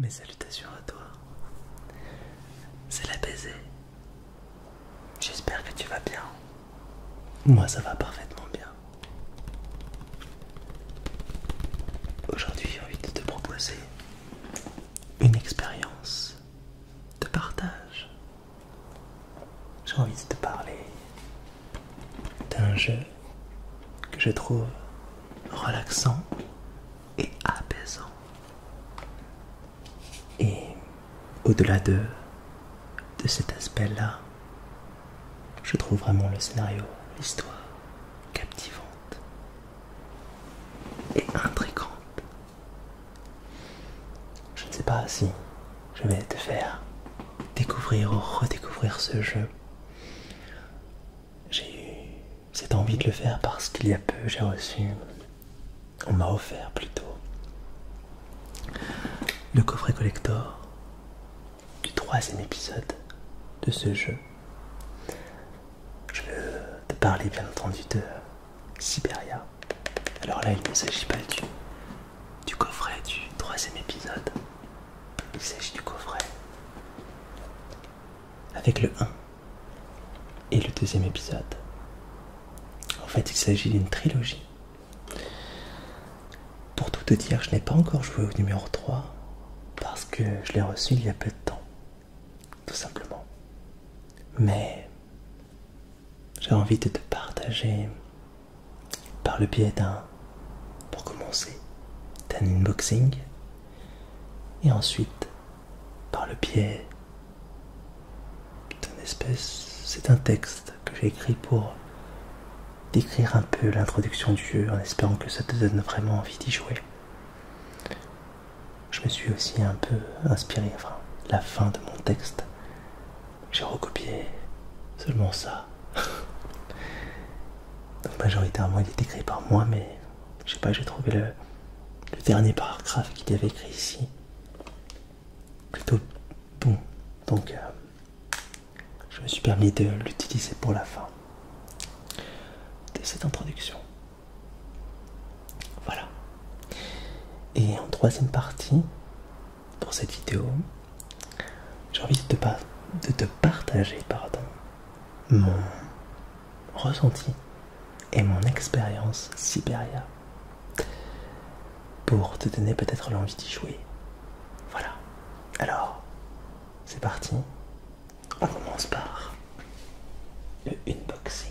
Mes salutations à toi. C'est la baiser. J'espère que tu vas bien. Moi ça va parfaitement bien. Aujourd'hui j'ai envie de te proposer une expérience de partage. J'ai envie de te parler d'un jeu que je trouve relaxant et apaisant. Et au-delà de cet aspect-là, je trouve vraiment le scénario, l'histoire captivante et intrigante. Je ne sais pas si je vais te faire découvrir ou redécouvrir ce jeu. J'ai eu cette envie de le faire parce qu'il y a peu j'ai reçu, on m'a offert plutôt, le coffret collector du troisième épisode de ce jeu. Je veux te parler bien entendu de Siberia. Alors là, il ne s'agit pas du, coffret du troisième épisode. Il s'agit du coffret avec le 1 et le deuxième épisode. En fait, il s'agit d'une trilogie. Pour tout te dire, je n'ai pas encore joué au numéro 3 parce que je l'ai reçu il y a peu de temps tout simplement. Mais j'ai envie de te partager par le biais d'un, pour commencer, d'un unboxing, et ensuite par le biais d'un espèce, c'est un texte que j'ai écrit pour décrire un peu l'introduction du jeu en espérant que ça te donne vraiment envie d'y jouer. Je me suis aussi un peu inspiré, enfin, la fin de mon texte. J'ai recopié seulement ça. Donc majoritairement, il est écrit par moi, mais je sais pas, j'ai trouvé le, dernier paragraphe qu'il y avait écrit ici plutôt bon. Donc, euh, je me suis permis de l'utiliser pour la fin de cette introduction. Voilà. Et en troisième partie, pour cette vidéo, j'ai envie de te, partager pardon, mon ressenti et mon expérience Siberia pour te donner peut-être l'envie d'y jouer. Voilà. Alors, c'est parti. On commence par le unboxing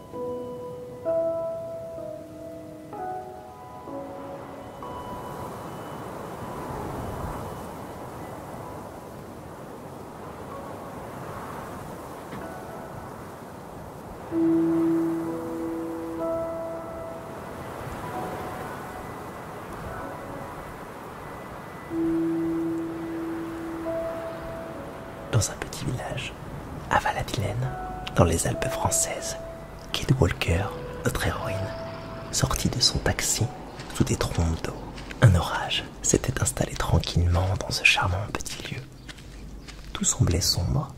Dans un petit village, à val dans les Alpes françaises, Kid Walker, notre héroïne, sortit de son taxi sous des trombes d'eau. Un orage s'était installé tranquillement dans ce charmant petit lieu. Tout semblait sombre,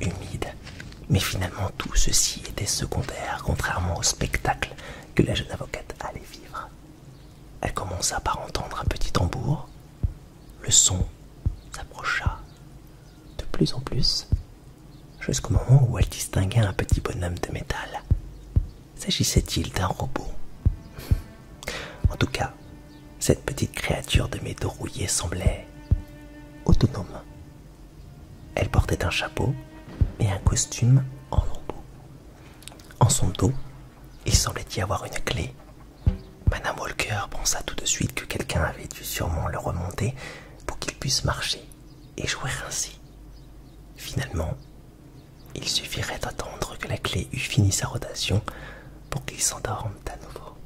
humide, mais finalement tout ceci était secondaire, contrairement au spectacle que la jeune avocate allait vivre. Elle commença par entendre un petit tambour, le son s'approcha de plus en plus jusqu'au moment où elle distingua un petit bonhomme de métal. S'agissait-il d'un robot En tout cas, cette petite créature de métaux rouillés semblait autonome. Elle portait un chapeau et un costume en robot. En son dos, il semblait y avoir une clé Madame Walker pensa tout de suite que quelqu'un avait dû sûrement le remonter pour qu'il puisse marcher et jouer ainsi. Finalement, il suffirait d'attendre que la clé eût fini sa rotation pour qu'il s'endorme à nouveau.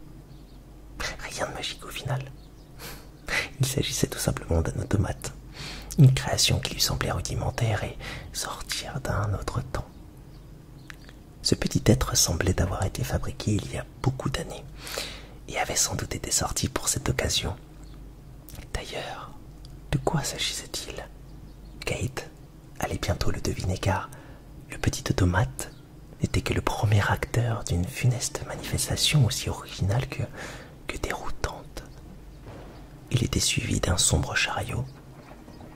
Rien de magique au final. Il s'agissait tout simplement d'un automate, une création qui lui semblait rudimentaire et sortir d'un autre temps. Ce petit être semblait avoir été fabriqué il y a beaucoup d'années et avait sans doute été sorti pour cette occasion. D'ailleurs, de quoi s'agissait-il Kate allait bientôt le deviner car le petit automate n'était que le premier acteur d'une funeste manifestation aussi originale que, que déroutante. Il était suivi d'un sombre chariot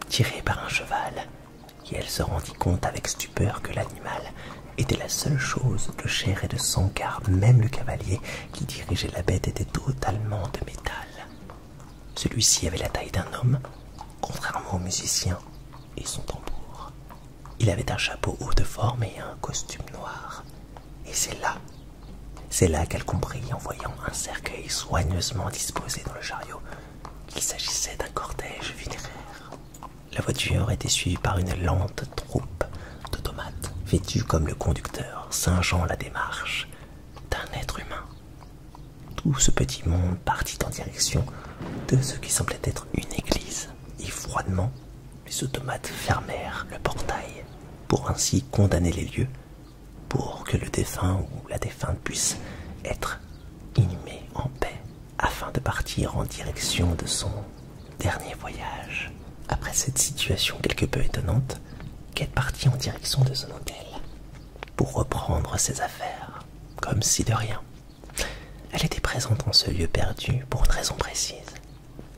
tiré par un cheval, et elle se rendit compte avec stupeur que l'animal était la seule chose de chair et de sang, car même le cavalier qui dirigeait la bête était totalement de métal. Celui-ci avait la taille d'un homme, contrairement au musicien et son tambour. Il avait un chapeau haut de forme et un costume noir. Et c'est là, c'est là qu'elle comprit en voyant un cercueil soigneusement disposé dans le chariot qu'il s'agissait d'un cortège funéraire. La voiture était suivie par une lente troupe d'automates vêtus comme le conducteur, singeant la démarche d'un être humain. Tout ce petit monde partit en direction de ce qui semblait être une église, et froidement, les automates fermèrent le portail pour ainsi condamner les lieux, pour que le défunt ou la défunte puisse être inhumée en paix afin de partir en direction de son dernier voyage. Après cette situation quelque peu étonnante, Kate partit en direction de son hôtel pour reprendre ses affaires, comme si de rien. Elle était présente en ce lieu perdu pour une raison précise,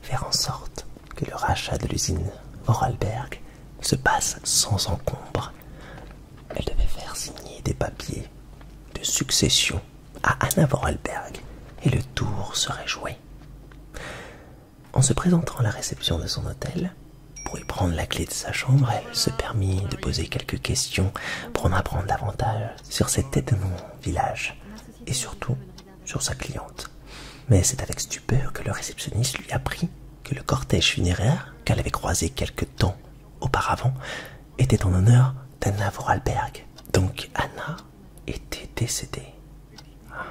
faire en sorte que le rachat de l'usine Vorarlberg se passe sans encombre, elle devait faire signer des papiers de succession à Anna Vorarlberg et le tour serait joué. En se présentant à la réception de son hôtel, pour y prendre la clé de sa chambre, elle se permit de poser quelques questions pour en apprendre davantage sur cet étonnant village et surtout sur sa cliente. Mais c'est avec stupeur que le réceptionniste lui apprit que le cortège funéraire qu'elle avait croisé quelque temps auparavant était en honneur d'Anna Vorarlberg. Donc Anna était décédée. Ah.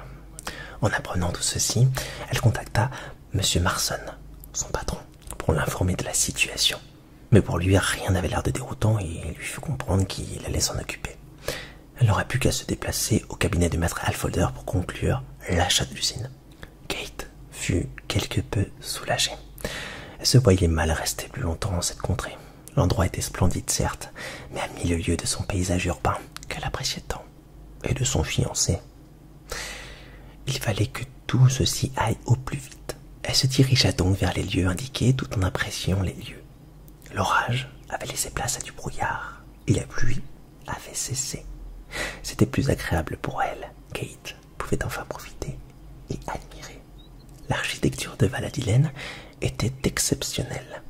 En apprenant tout ceci, elle contacta M. Marson, son patron, pour l'informer de la situation. Mais pour lui, rien n'avait l'air de déroutant et il lui fit comprendre qu'il allait s'en occuper. Elle n'aurait plus qu'à se déplacer au cabinet du maître Alfolder pour conclure l'achat de l'usine. Kate fut quelque peu soulagée. Elle se voyait mal rester plus longtemps dans cette contrée. L'endroit était splendide, certes, mais à mille lieues de son paysage urbain qu'elle appréciait tant, et de son fiancé. Il fallait que tout ceci aille au plus vite. Elle se dirigea donc vers les lieux indiqués tout en appréciant les lieux. L'orage avait laissé place à du brouillard et la pluie avait cessé. C'était plus agréable pour elle, Kate, pouvait enfin profiter et admirer. L'architecture de Valadilaine était exceptionnelle.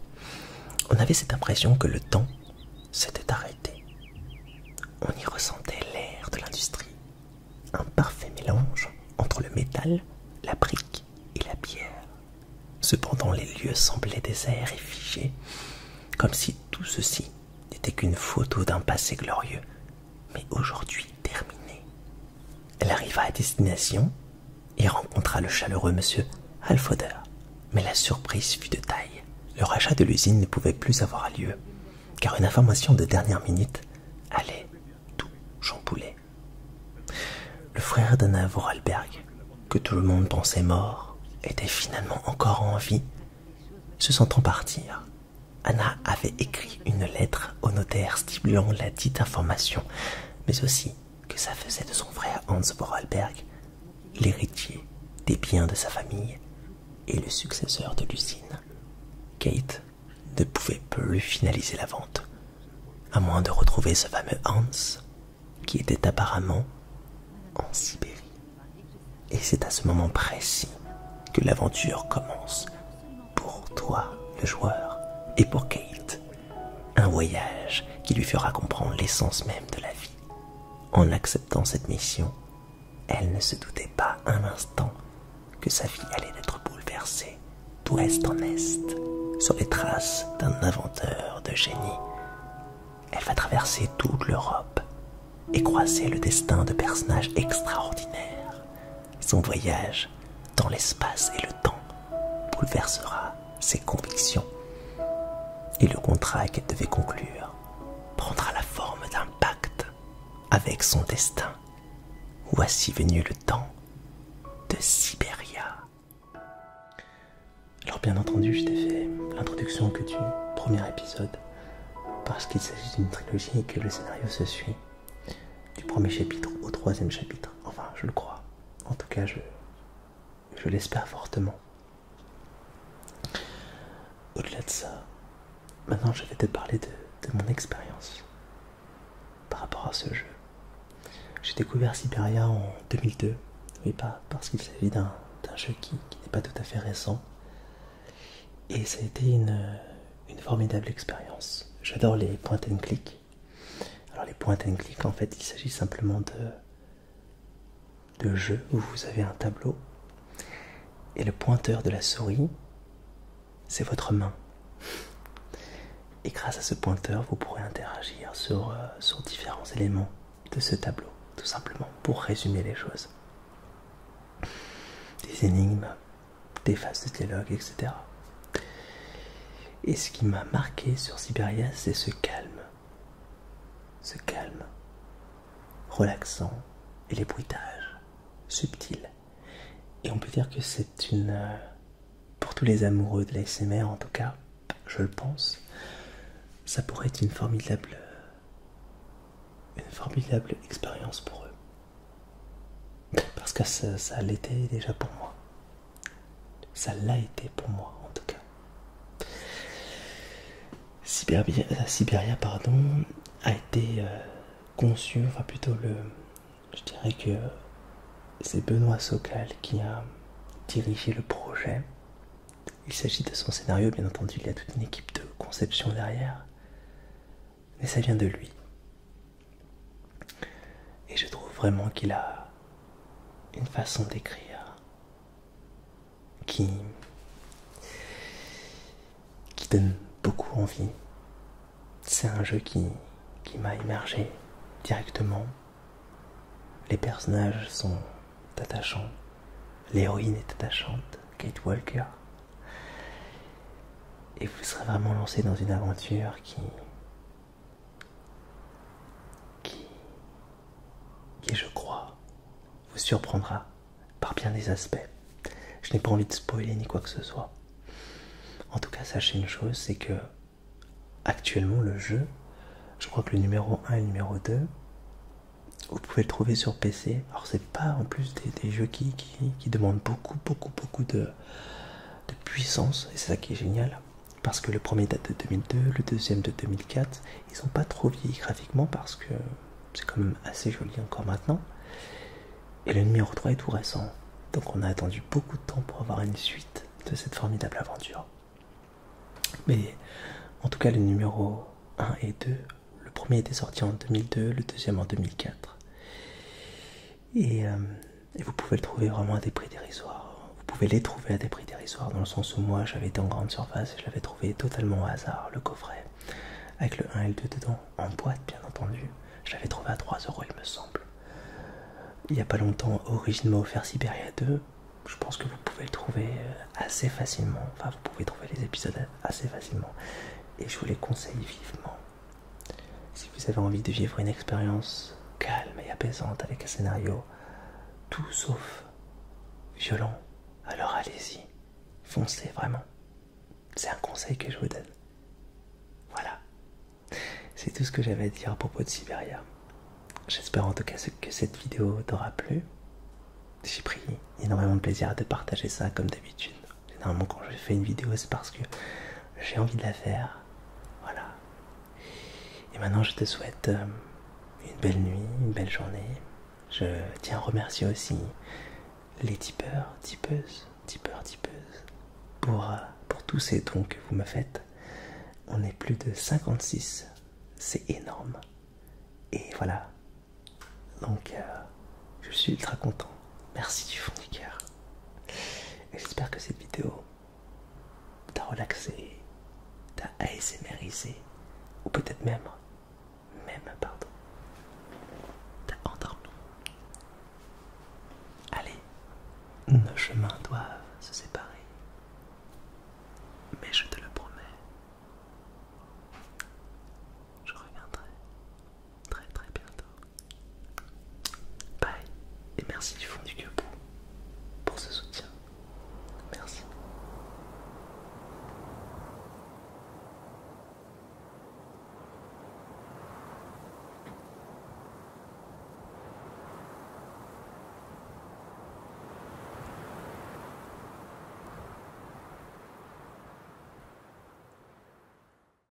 On avait cette impression que le temps s'était arrêté. On y ressentait l'air de l'industrie, un parfait mélange entre le métal, la brique et la pierre. Cependant les lieux semblaient déserts et figés, comme si tout ceci n'était qu'une photo d'un passé glorieux mais aujourd'hui terminée. Elle arriva à destination et rencontra le chaleureux monsieur Halfodder. Mais la surprise fut de taille. Le rachat de l'usine ne pouvait plus avoir lieu, car une information de dernière minute allait tout chambouler. Le frère d'Anna Vorarlberg, que tout le monde pensait mort, était finalement encore en vie, se sentant partir Anna avait écrit une lettre au notaire stimulant la dite information, mais aussi que ça faisait de son frère Hans Vorarlberg l'héritier des biens de sa famille et le successeur de Lucine. Kate ne pouvait plus finaliser la vente, à moins de retrouver ce fameux Hans qui était apparemment en Sibérie. Et c'est à ce moment précis que l'aventure commence pour toi, le joueur, et pour Kate, un voyage qui lui fera comprendre l'essence même de la vie. En acceptant cette mission, elle ne se doutait pas un instant que sa vie allait être bouleversée d'ouest en est, sur les traces d'un inventeur de génie. Elle va traverser toute l'Europe et croiser le destin de personnages extraordinaires son voyage dans l'espace et le temps bouleversera ses convictions. Et le contrat qu'elle devait conclure prendra la forme d'un pacte avec son destin. Voici venu le temps de Sibéria. Alors bien entendu, je t'ai fait l'introduction que tu premier épisode parce qu'il s'agit d'une trilogie et que le scénario se suit du premier chapitre au troisième chapitre. Enfin, je le crois. En tout cas, je, l'espère fortement. Au-delà de ça, maintenant je vais te parler de, mon expérience par rapport à ce jeu. J'ai découvert Siberia en 2002, oui, pas parce qu'il s'agit d'un jeu qui n'est pas tout à fait récent, et ça a été une, formidable expérience. J'adore les point and click. Alors les point and click, en fait, il s'agit simplement de, de jeux où vous avez un tableau et le pointeur de la souris, c'est votre main. Et grâce à ce pointeur, vous pourrez interagir sur, euh, sur différents éléments de ce tableau, tout simplement pour résumer les choses. Des énigmes, des phases de dialogue, etc. Et ce qui m'a marqué sur Siberia, c'est ce calme. Ce calme relaxant et les bruitages subtils. Et on peut dire que c'est une... Pour tous les amoureux de l'ASMR en tout cas, je le pense, ça pourrait être une formidable... Une formidable expérience pour eux. Parce que ça, l'était déjà pour moi. Ça l'a été pour moi en tout cas. Siberia Siberia pardon, a été euh, conçu, enfin plutôt le... Je dirais que c'est Benoît Sokal qui a dirigé le projet. Il s'agit de son scénario, bien entendu, il y a toute une équipe de conception derrière mais ça vient de lui. Et je trouve vraiment qu'il a une façon d'écrire qui, donne beaucoup envie. C'est un jeu qui, qui m'a émergé directement. Les personnages sont attachants. L'héroïne est attachante, Kate Walker. Et vous serez vraiment lancé dans une aventure qui, qui, qui je crois, vous surprendra par bien des aspects. Je n'ai pas envie de spoiler ni quoi que ce soit. En tout cas, sachez une chose, c'est que actuellement le jeu, je crois que le numéro 1 et le numéro 2, vous pouvez le trouver sur PC. Alors c'est pas en plus des, jeux qui, qui, demandent beaucoup, beaucoup, beaucoup de, de puissance, et c'est ça qui est génial, parce que le premier date de 2002, le deuxième de 2004, ils sont pas trop vieilli graphiquement parce que c'est quand même assez joli encore maintenant, et le numéro 3 est tout récent, donc on a attendu beaucoup de temps pour avoir une suite de cette formidable aventure. Mais en tout cas, le numéro 1 et 2, le premier était sorti en 2002, le deuxième en 2004. Euh, et, vous pouvez le trouver vraiment à des prix dérisoires. Vous pouvez les trouver à des prix dérisoires dans le sens où moi j'avais été en grande surface et je l'avais trouvé totalement au hasard, le coffret, avec le 1 et le 2 dedans, en boîte bien entendu. Je l'avais trouvé à 3 euros il me semble. Il n'y a pas longtemps, originellement m'a offert à 2. Je pense que vous pouvez le trouver euh, assez facilement. Enfin, vous pouvez trouver les épisodes assez facilement. Et je vous les conseille vivement. Si vous avez envie de vivre une expérience calme et apaisante avec un scénario tout sauf violent, alors allez-y, foncez vraiment. C'est un conseil que je vous donne. Voilà. C'est tout ce que j'avais à dire à propos de Siberia. J'espère en tout cas que cette vidéo t'aura plu. J'ai pris énormément de plaisir à partager ça comme d'habitude. Généralement, quand je fais une vidéo, c'est parce que j'ai envie de la faire. Voilà. Et maintenant, je te souhaite euh, une belle nuit, une belle journée. Je tiens à remercier aussi les tipeurs, tipeuses, tipeurs, tipeuses pour, euh, pour tous ces dons que vous me faites. On est plus de 56. C'est énorme. Et voilà. Donc, euh, je suis ultra content. Merci du fond du cœur. J'espère que cette vidéo t'a relaxé, t'a ASMRisé, ou peut-être même, même, pardon, t'a endormi. Allez, nos chemins doivent se séparer. Mais je te le promets, je reviendrai très très bientôt. Bye et merci du fond du cœur pour ce soutien. Merci.